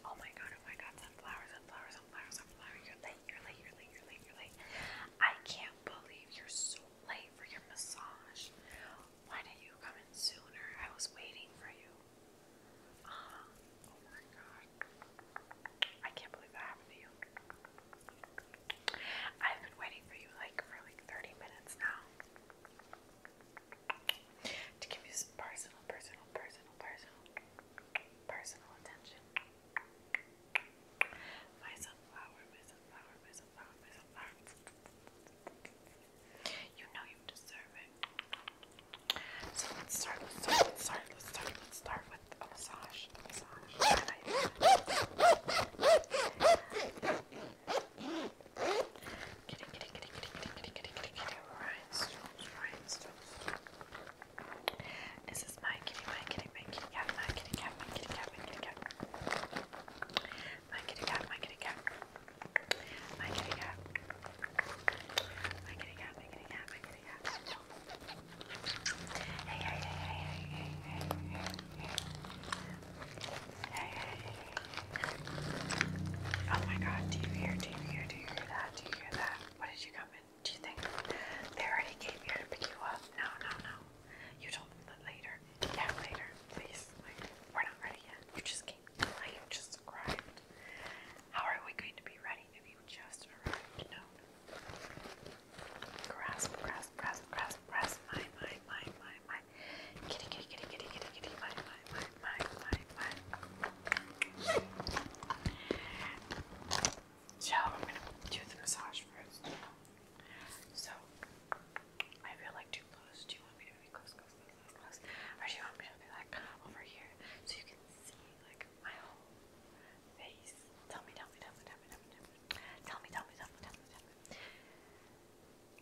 Oh my god, oh my god, sunflowers, sunflowers, sunflowers, sunflowers. You're late, you're late, you're late, you're late, you're late. I can't believe you're so late for your massage. Why didn't you come in sooner? I was waiting for you. Uh, oh my god. I can't believe that happened to you. I've been waiting for you like for like 30 minutes now to give you some personal, personal, personal, personal, personal attention. My sunflower, my sunflower, my sunflower, my sunflower. You know you deserve it. So let's start, let's start, let's start, let's start, let's start with a massage. A massage. I Kitty, kitty, kitty, kitty, kitty, kitty, kitty, kitty, kitty, rhinestones, rhinestones. This is my kitty, my kitty, my kitty cat, my kitty cat, my kitty cat, my kitty cat. My kitty cat, my kitty cat. My kitty cat. My kitty cat, my kitty cat, my kitty cat. Hey, hey, hey, hey, hey, hey, hey, hey. Hey, hey, hey, Oh my god, do you hear, do you hear, do you hear that? Do you hear that? What did you come in? Do you think they already came here to pick you up? No, no, no. You told them that later. Yeah, later. Please. we're not ready yet. You just came. Like, you just arrived. How are we going to be ready if you just arrived? No. Grasp, grasp, grasp, grasp, grasp. My, my, my, my, my, my kitty, kitty, kitty, kitty, kitty, kitty, my, my, my, my, my, my. So I'm gonna do the massage first. So I feel like too close. Do you want me to be close, close, close, close, close? Or do you want me to be like over here so you can see like my whole face? Tell me, tell me, tell me, tell me, tell me, tell me, tell me, tell me, tell me, tell me. Tell me, tell me, tell me, tell me.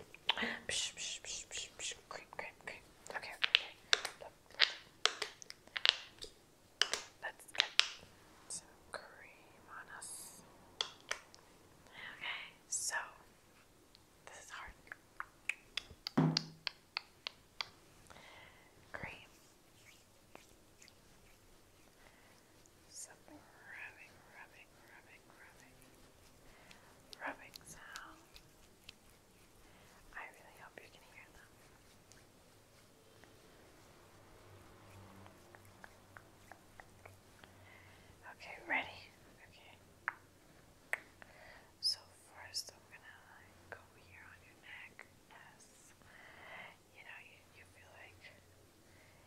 Psh, psh, psh, psh, psh. Cream, cream, cream. Okay, okay, okay. Let's get some cream on us. Okay, so this is hard. Cream rubbing, rubbing, rubbing, rubbing, rubbing sound. I really hope you can hear them. Okay, ready? Okay. So first I'm gonna go here on your neck. Yes. You know, you, you feel like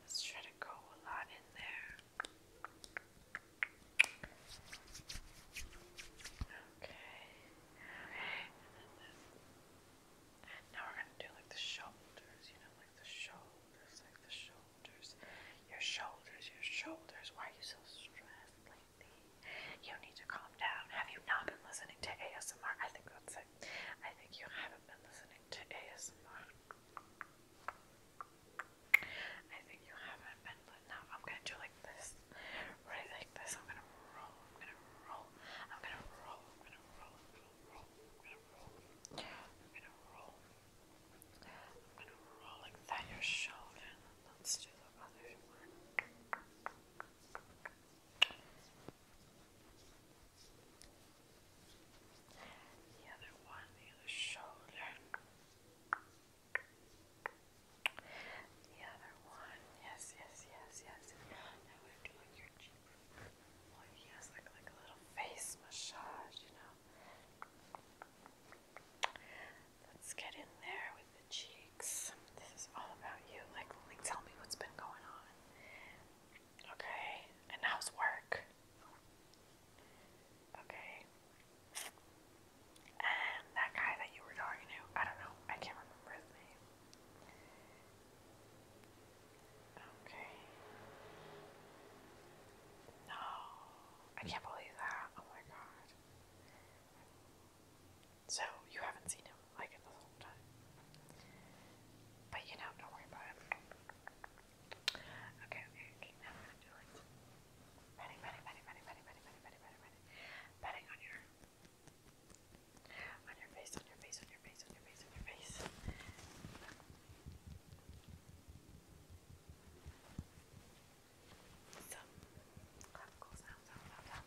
Let's try to go a lot in there. Okay. Okay. And then this. Now we're gonna do like the shoulders, you know, like the shoulders, like the shoulders. Your shoulders, your shoulders. Why are you so stressed lately? You need to calm down. Have you not been listening to ASMR? I think that's it. I think you haven't been listening to ASMR. I think you haven't been, but now I'm gonna do like this, right? Like this. I'm gonna roll. I'm gonna roll. I'm gonna roll. I'm gonna roll. I'm gonna roll. I'm gonna roll like that. Your shoulder. Let's do the other one. The other one near the shoulder. The other one. Yes, yes, yes, yes. Now we're doing your cheek. Well, yes, like like a little face massage, you know. Let's get in there with the cheeks. This is all about you. Like, like tell me what's been going on. Okay, and how's work? Okay. And that guy that you were talking to, I don't know, I can't remember his name. Okay. No, I can't believe that. Oh my god. So, you haven't seen him? do like it the whole time. But you know, don't worry about it. Okay, okay, okay. Now we're gonna do like petting, petting, petting, on your, on your face, on your face, on your face, on your face, on your face. Some clap, cool sounds, sound, sound, sound.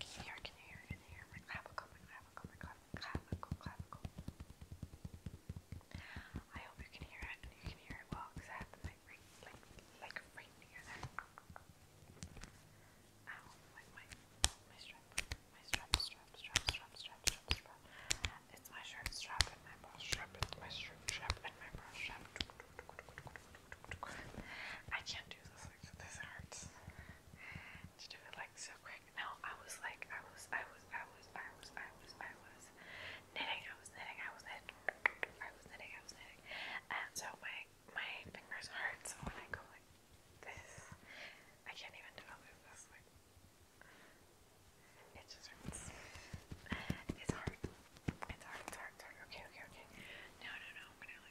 Can you hear? Can you hear? Can you hear? My clavicle, my clavicle, my clavicle, clavicle. I hope you can hear it and you can hear it well because I have the mic right, like, like right near there. Ow, like my, my strap, my strap, strap, strap, strap, strap, strap, strap. It's my shirt strap and my bra strap, it's my shirt strap and my bra strap. I can't do this this hurts. Did you feel like so quick? No, I was like, I was, I was, I was, I was, I was, I was knitting, I was knitting, I was knitting, I was knitting, I was knitting, and so my my fingers hurt. So when I go like this, I can't even develop this. Like, it just hurts. It's hard. It's hard. It's hard. Okay. Okay. Okay. No. No. No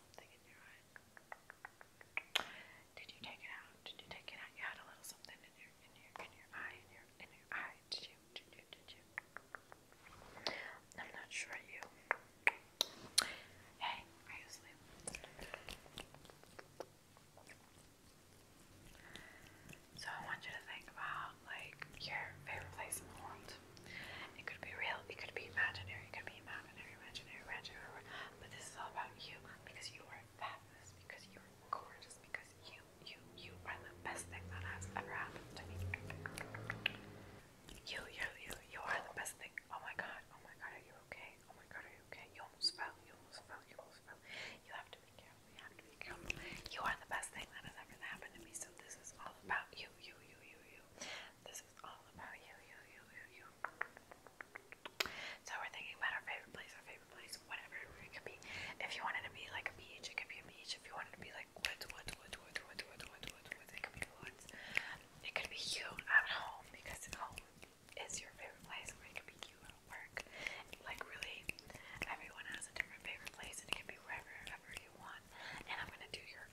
something Did you take it out? Did you take it out? You had a little something in your in your in your eye in your in your eye. Did you? Did you? Did you? I'm not sure you. Hey, So I want you to think about like your favorite place in the world. It could be real, it could be imaginary, it could be imaginary, imaginary, imaginary. But this is all about you because you are fabulous, because you are gorgeous, because you, you, you are the best thing that has ever happened to me. You, you, you, you are the best thing. Oh my god, oh my god, are you okay? Oh my god, are you okay? You almost fell, you almost fell, you almost fell. You have to be careful, you have to be careful. You are the best thing that has ever happened to me, so this is all about you, you, you, you, you. This is all about you, you, you, you, you. So we're thinking about our favorite place, our favorite place, whatever it could be. If you wanted to be like a beach, it could be a beach. If you wanted to be like woods, woods, woods, woods, woods, woods, woods, woods, woods, it could be woods. It could be you at home because home is your favorite place, or it could be you at work. Like really, everyone has a different favorite place, and it can be wherever, wherever you want. And I'm gonna do your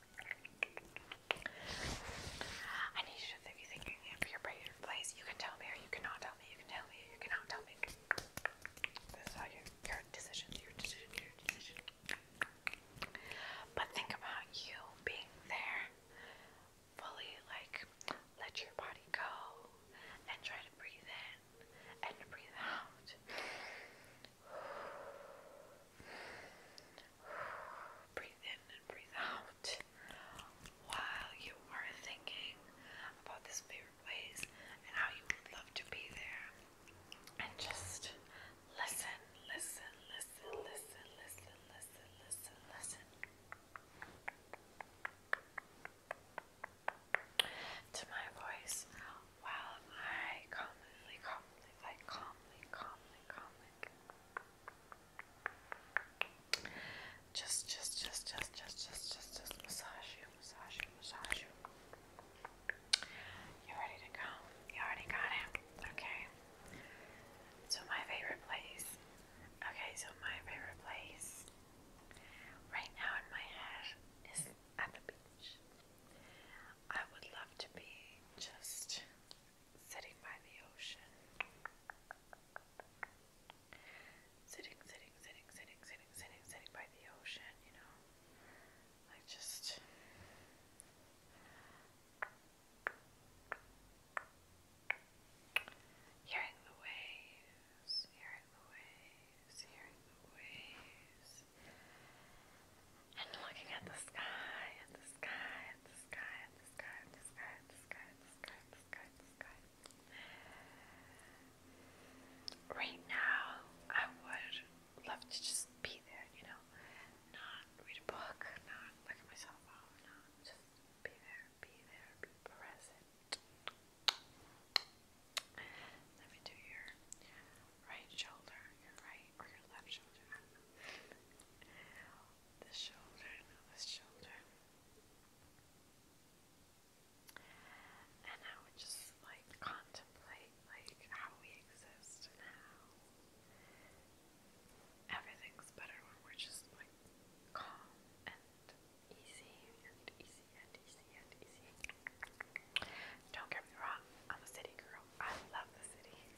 I need you to if think you're in your you can tell me or you cannot tell me. You can tell me you cannot tell me. This is how your, your decisions, your decision, your decision. But think about you being there, fully like let your body go and try to breathe in and breathe out. Breathe in and breathe out while you are thinking about this favorite place and how you would love to be there. And just listen, listen, listen, listen, listen, listen, listen, listen. To my voice while I calmly, calmly, like calmly, calmly, calmly, just, just, just, just, just, just, just, massage you, massage you, massage you. you ready to go. You already got it. Okay. So my favorite place. Okay, so my favorite place right now in my head is at the beach. I would love to be just sitting by the ocean. Sitting, sitting, sitting, sitting, sitting, sitting, by the ocean, you know? Like just. Hearing the waves, hearing the waves waves, Right now, I would love to just be there, you know, not read a book, not look at my cell oh, just be there, be there, be present. Let me do your right shoulder, your right or your left shoulder. this shoulder, this shoulder. And I would just like contemplate like how we exist and everything's better when we're just like calm and easy and easy and don't get me wrong, I'm a city girl. I love the city.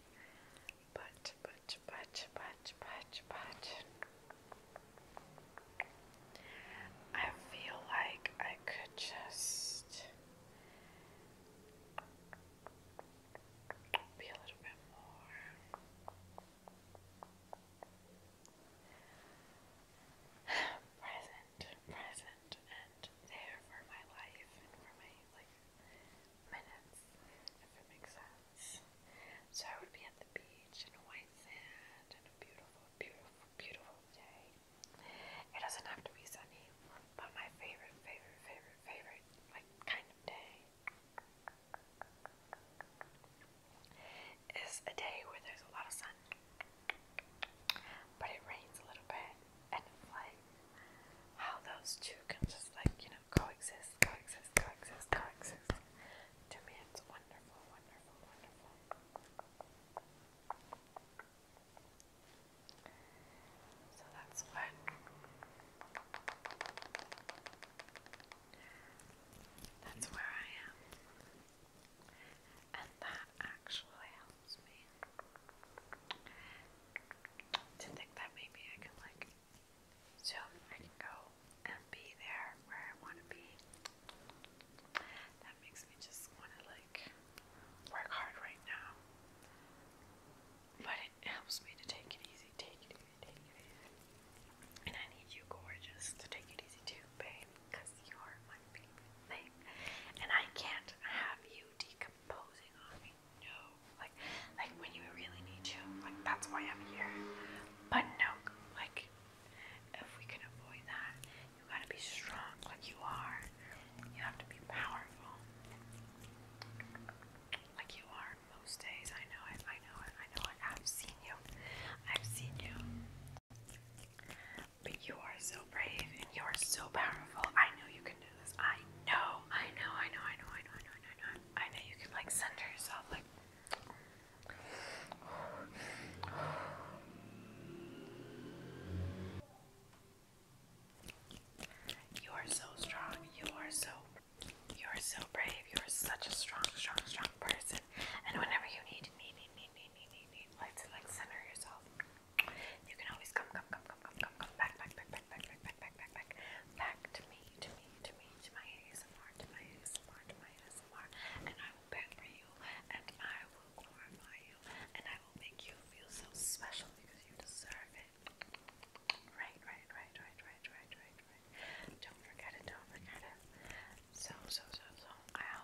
But, but, but, but, but, but, I feel like I could just be a little bit more present, present, there for my life and for my like minutes, if it makes sense. So I would be at the beach in white sand and a beautiful, beautiful, beautiful day. It doesn't have to be sunny, but my favorite, favorite, favorite, favorite like kind of day is a day where there's a lot of sun sun. But it rains a little bit, and like how those two can just like, you know, coexist, coexist, coexist, coexist. To me, it's wonderful, wonderful, wonderful. So that's what that's where I am and that actually helps me to think that maybe I can like zoom, I go and be there where I want to be. That makes me just want to like work hard right now, but it helps me to take it easy, take it easy, take it easy. And I need you, gorgeous, to take it easy too, babe because you're my favorite thing, and I can't have you decomposing on me. No, like, like when you really need you, like that's why I'm here. But no, like, if we can avoid that, you gotta be strong, like you are. You have to be powerful, like you are most days. I know it. I know it. I know it. I've seen you. I've seen you. But you are so brave and you are so powerful. I know you can do this. I know, I know, I know, I know, I know, I know, I know, I know. I know you can like center yourself like You are so strong. You are so you are so brave. You are such a strong, strong, strong person. And whenever you need, me, need, need, need, need, like center yourself. You can always come, come, come, come, come, come, come back, back, back, back, back, back, back, back, back, back, back to me, to me, to me, to my ASMR, my ASMR, my ASMR, and I will pamper you, and I will glorify you, and I will make you feel so special because you deserve it. Right, right, right, right, right, right, right, right. Don't forget it. Don't forget it. So, so, so, so. I